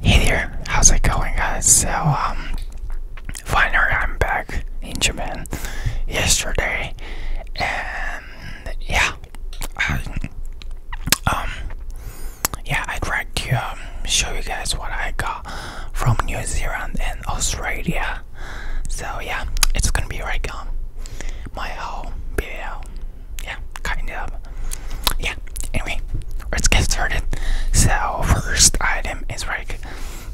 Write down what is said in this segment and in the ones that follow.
Hey there, how's it going guys? So um finally I'm back in Japan yesterday and yeah I, um yeah I tried to um, show you guys what I got from New Zealand and Australia so yeah it's gonna be like um my whole video yeah kind of yeah, anyway, let's get started. So, first item is like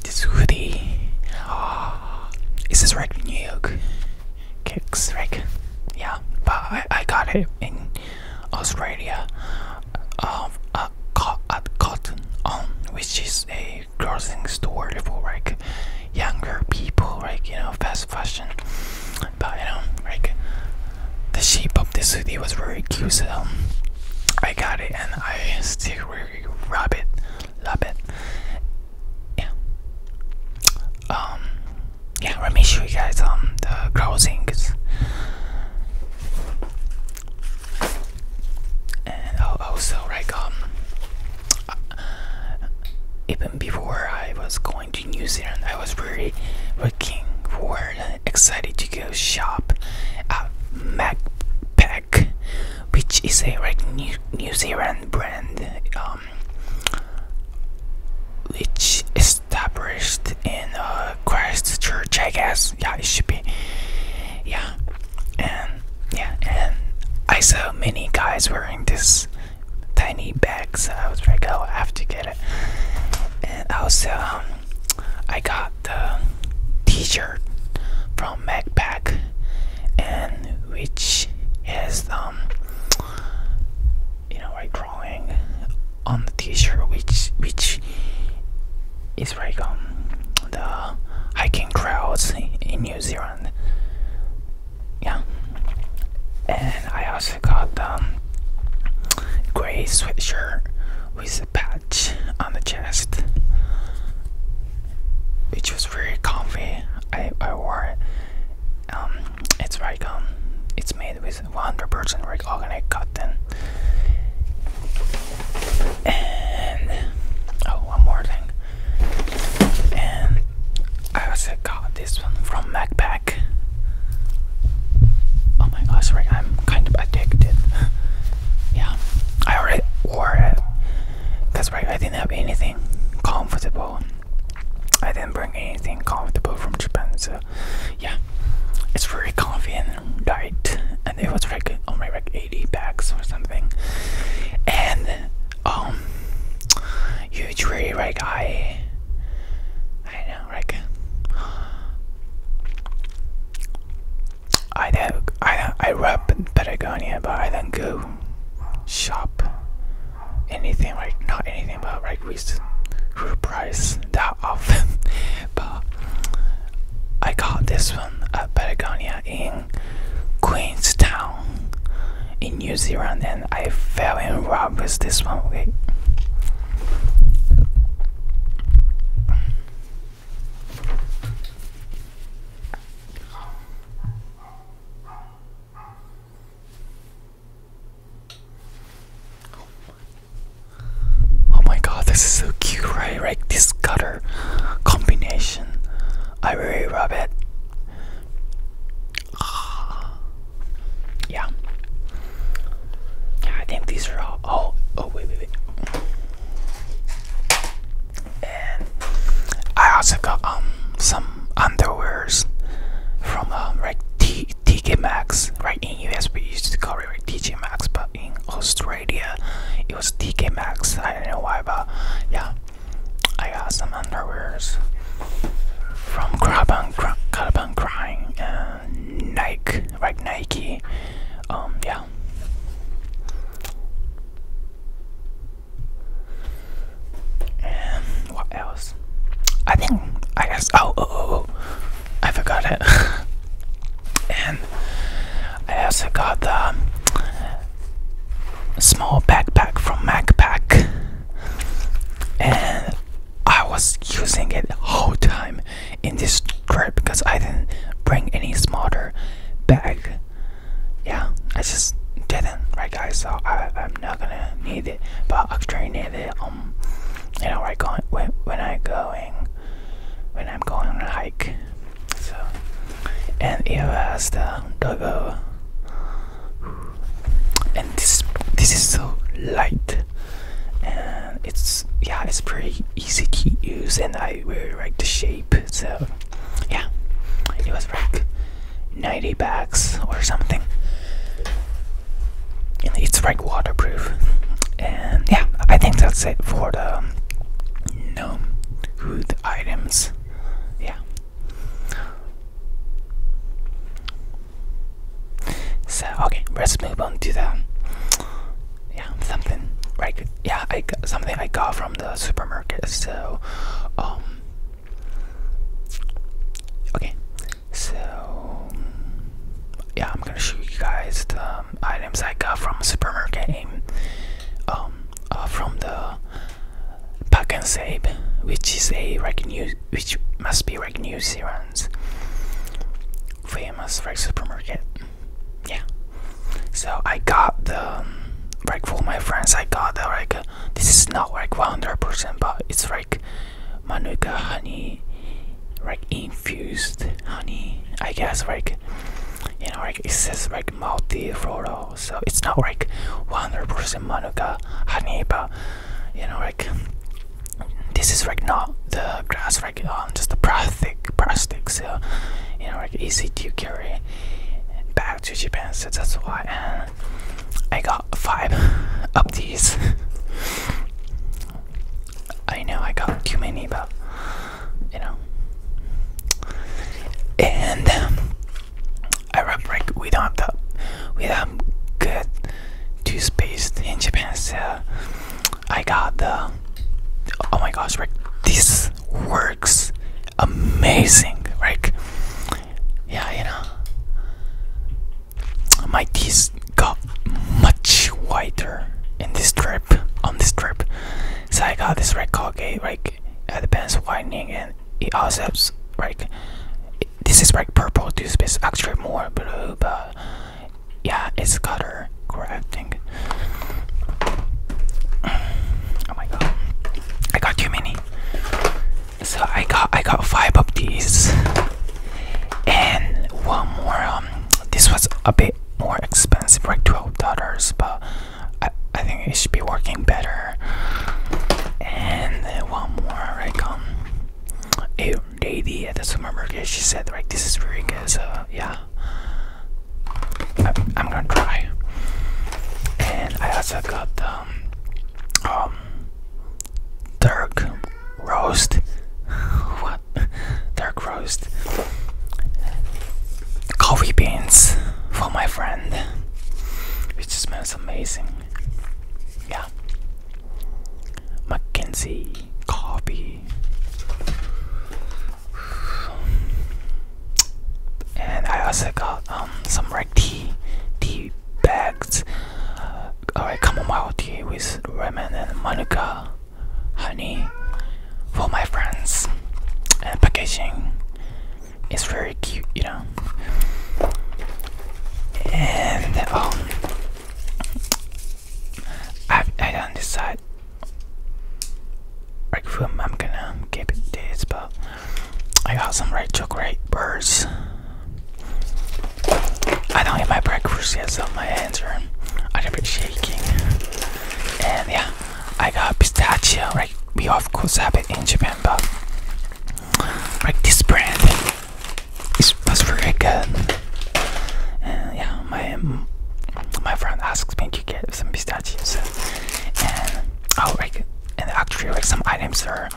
this hoodie. Oh, is this like New York kicks? Like, yeah, but I, I got it in Australia of um, at, Cotton On, which is a clothing store for like younger people, like you know, fast fashion but you know, like the shape of the hoodie was very cute, so I got it and I still really love it, love it. Yeah. Um. Yeah, let me show you guys um the closings. And also, right. um, uh, even before I was going to to New Zealand, I was really looking forward and uh, excited to go shop at Macpac, which is a like New, Zealand brand um, which established in uh, Christchurch, I guess. Yeah, it should be. Yeah, and yeah, and I saw many guys wearing this tiny bag, so I was like, oh, I have to get. And also, um, I got the T-shirt from Macpac, and which has um, you know, a drawing on the T-shirt, which which is like um the hiking crowds in New Zealand. Yeah, and I also also got um, gray sweatshirt with a patch on the chest, which was very comfy. I, I wore it. Um, it's like um, it's made with 100% organic cotton. And oh, one more thing. And I also got this one from Macpac. Oh my gosh, right, I'm kind of addicted. yeah, I already wore it. That's right, I didn't have anything comfortable. I didn't bring anything comfortable from Japan, so yeah. It's very comfy and tight, and it was like only like 80 bags or something. And um, usually like guy. I know, like I don't, I don't, I rub Patagonia, but I don't go shop anything, right? not anything, but right, with group price that often. but I got this one at Patagonia in Queenstown in New Zealand, I fell in love with this one. Okay. Oh my god, this is so cute, right? right. this color combination. I really love it. Ah. Yeah. Yeah, I think these are all. Oh, oh, wait, wait, wait. And I also got um some underwears from um like T TK Maxx. Right in US we used to call it like Max, but in Australia it was TK Max. I don't know why, but yeah, I got some underwears from Caravan, Caravan Crying and uh, Nike, right? Nike. Um, yeah. And what else? I think I guess. oh, oh. oh, oh. I forgot it. and I also got the small backpack from MacPack and I was using it whole time in this trip because I didn't bring any smaller bag. Yeah, I just didn't, right, guys? So I, am not gonna need it, but I actually need it. Um, you know, right, going when when I going when I'm going on a hike. So, and it has the logo and this this is so light and it's yeah it's pretty easy to use and I really like the shape so yeah it was like 90 bags or something and it's like waterproof and yeah I think that's it for the gnome hood items yeah so okay, let's move on to the yeah something right yeah I got something I got from the supermarket. So um okay so yeah I'm gonna show you guys the items I got from supermarket um uh, from the Pack and Save, which is a which must be like New Zealand's famous like supermarket. Yeah. So I got the like um, for my friends. I got the like uh, this is not like 100 percent, but it's like manuka honey, like infused honey. I guess like you know like it says like multi floral so it's not like 100% manuka anime but you know like this is like not the grass like um just the plastic plastic so uh, you know like easy to carry back to Japan so that's why I got five of these I know I got too many but you know and um, Arab break we don't have we don't good toothpaste in Japan so I got the oh my gosh this works amazing Rick yeah you know my teeth got much whiter in this trip on this trip so I got this Rick Colgate like at uh, the whitening and it also has like this is like purple This is actually more blue but yeah it's color correct I oh my god I got too many so I got I got five of these and one more um this was a bit more expensive like twelve dollars but I, I think it should be working better. And uh, one more, right? um, a lady at the supermarket, she said, like, this is really good, so yeah. I, am gonna try. And I also got the um, um dark roast. what? Dark roast. Coffee beans for my friend. It just smells amazing. Yeah. Mackenzie coffee. And I also got um some red tea tea bags. Uh, Alright, chamomile tea with ramen and manuka honey for my friends and packaging it's very cute, you know. And um, I I don't decide. Like film, I'm gonna keep this, but I got some red chocolate birds. I don't eat my breakfast yet, so my hands are a little bit shaking. And yeah, I got pistachio, right? We of course have it in Japan, but like this brand is was very good. And yeah, my my friend asked me to get some pistachios, and oh, like and actually like some items are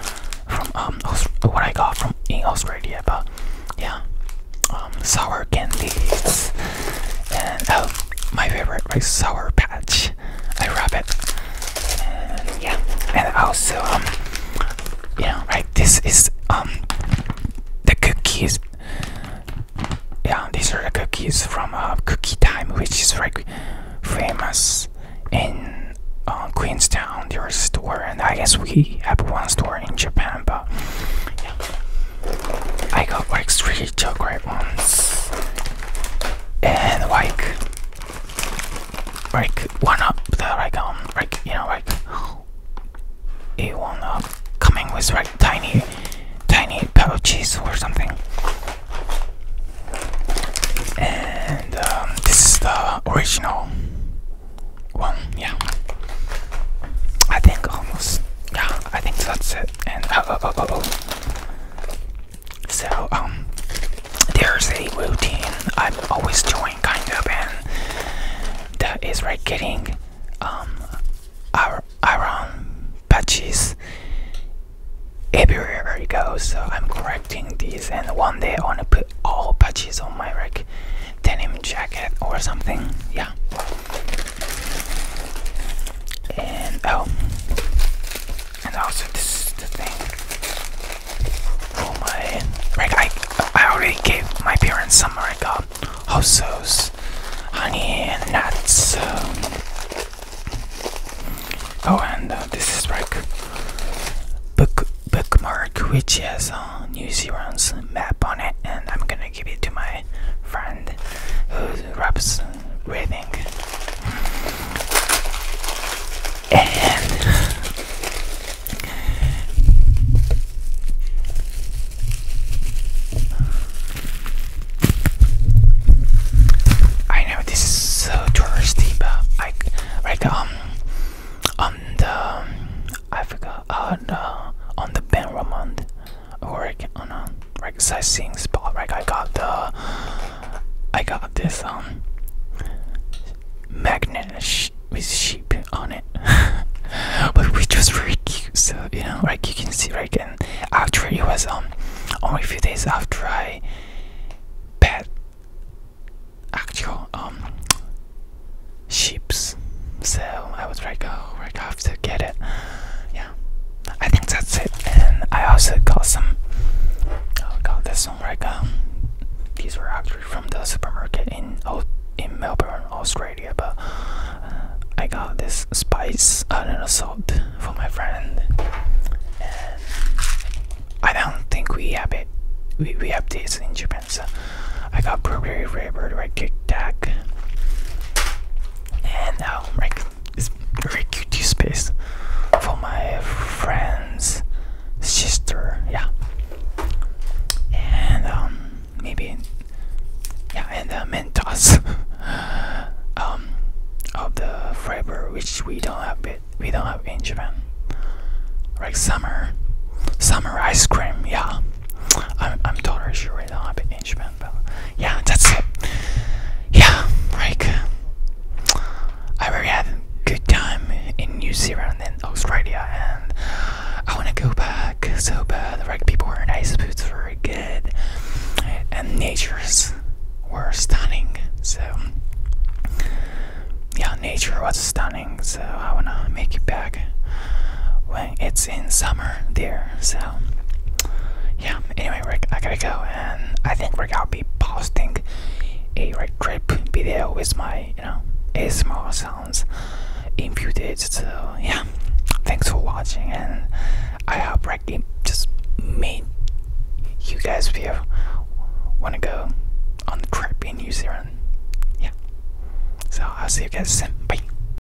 from um what I got from in Australia, but yeah, um sour candies and oh my favorite like sour patch I rub it. And yeah, and also um, you know, right? This is um, the cookies. Yeah, these are the cookies from uh, Cookie Time, which is very famous in uh, Queenstown. There's a store, and I guess we have one store in Japan, but yeah. I got like three chocolate ones and like like one up the like um like you know like it one up coming with like tiny tiny pouches or something and um, this is the original one yeah I think almost yeah I think that's it and oh oh oh oh, oh. So, um, there's a routine I'm always doing, kind of, and that is like getting um, iron patches everywhere it goes. So, I'm correcting these, and one day I want to put all patches on my like denim jacket or something. Yeah. And oh, and also this is the thing. Oh my! Right, I I already gave my parents some like uh, hossos, honey and nuts. oh, and uh, this is like book bookmark, which has New Zealand's map on it, and I'm gonna give it to my friend who raps reading. And I know this is so touristy, but I like um on the I forgot on the on the Ben Ramond or like, can, on a right sightseeing spot. Like, I got the, I got this um magnet with sheep on it, but which was very cute. So you know, like you can see, like, and after it was um only a few days after I pet actual um sheeps, so I was like, oh, I have to get it. yeah. I think that's it. And I also got some. Oh, I got this one like um, these were actually from the supermarket in in Melbourne, Australia. But uh, I got this spice, I a salt for my friend. And I don't think we have it. We we have this in Japan. So I got blueberry flavored red Tic Tac and now um, like it's very cute space for my friend's sister yeah and um maybe yeah and the mentos um of the flavor which we don't have it we don't have in Japan like summer summer ice cream yeah I'm I'm totally sure we don't have it yeah, that's it. Yeah, like I really had a good time in New Zealand and Australia, and I want to go back so bad. Like people were nice, foods were good, and nature's were stunning. So yeah, nature was stunning. So I wanna make it back it's in summer there, so yeah. Anyway, Rick, I gotta go, and I think Rick, I'll be posting a Rick trip video with my, you know, ASMR sounds imputed. So yeah, thanks for watching, and I hope Rick just made you guys feel want to go on the trip in New Zealand. Yeah. So I'll see you guys soon. Bye.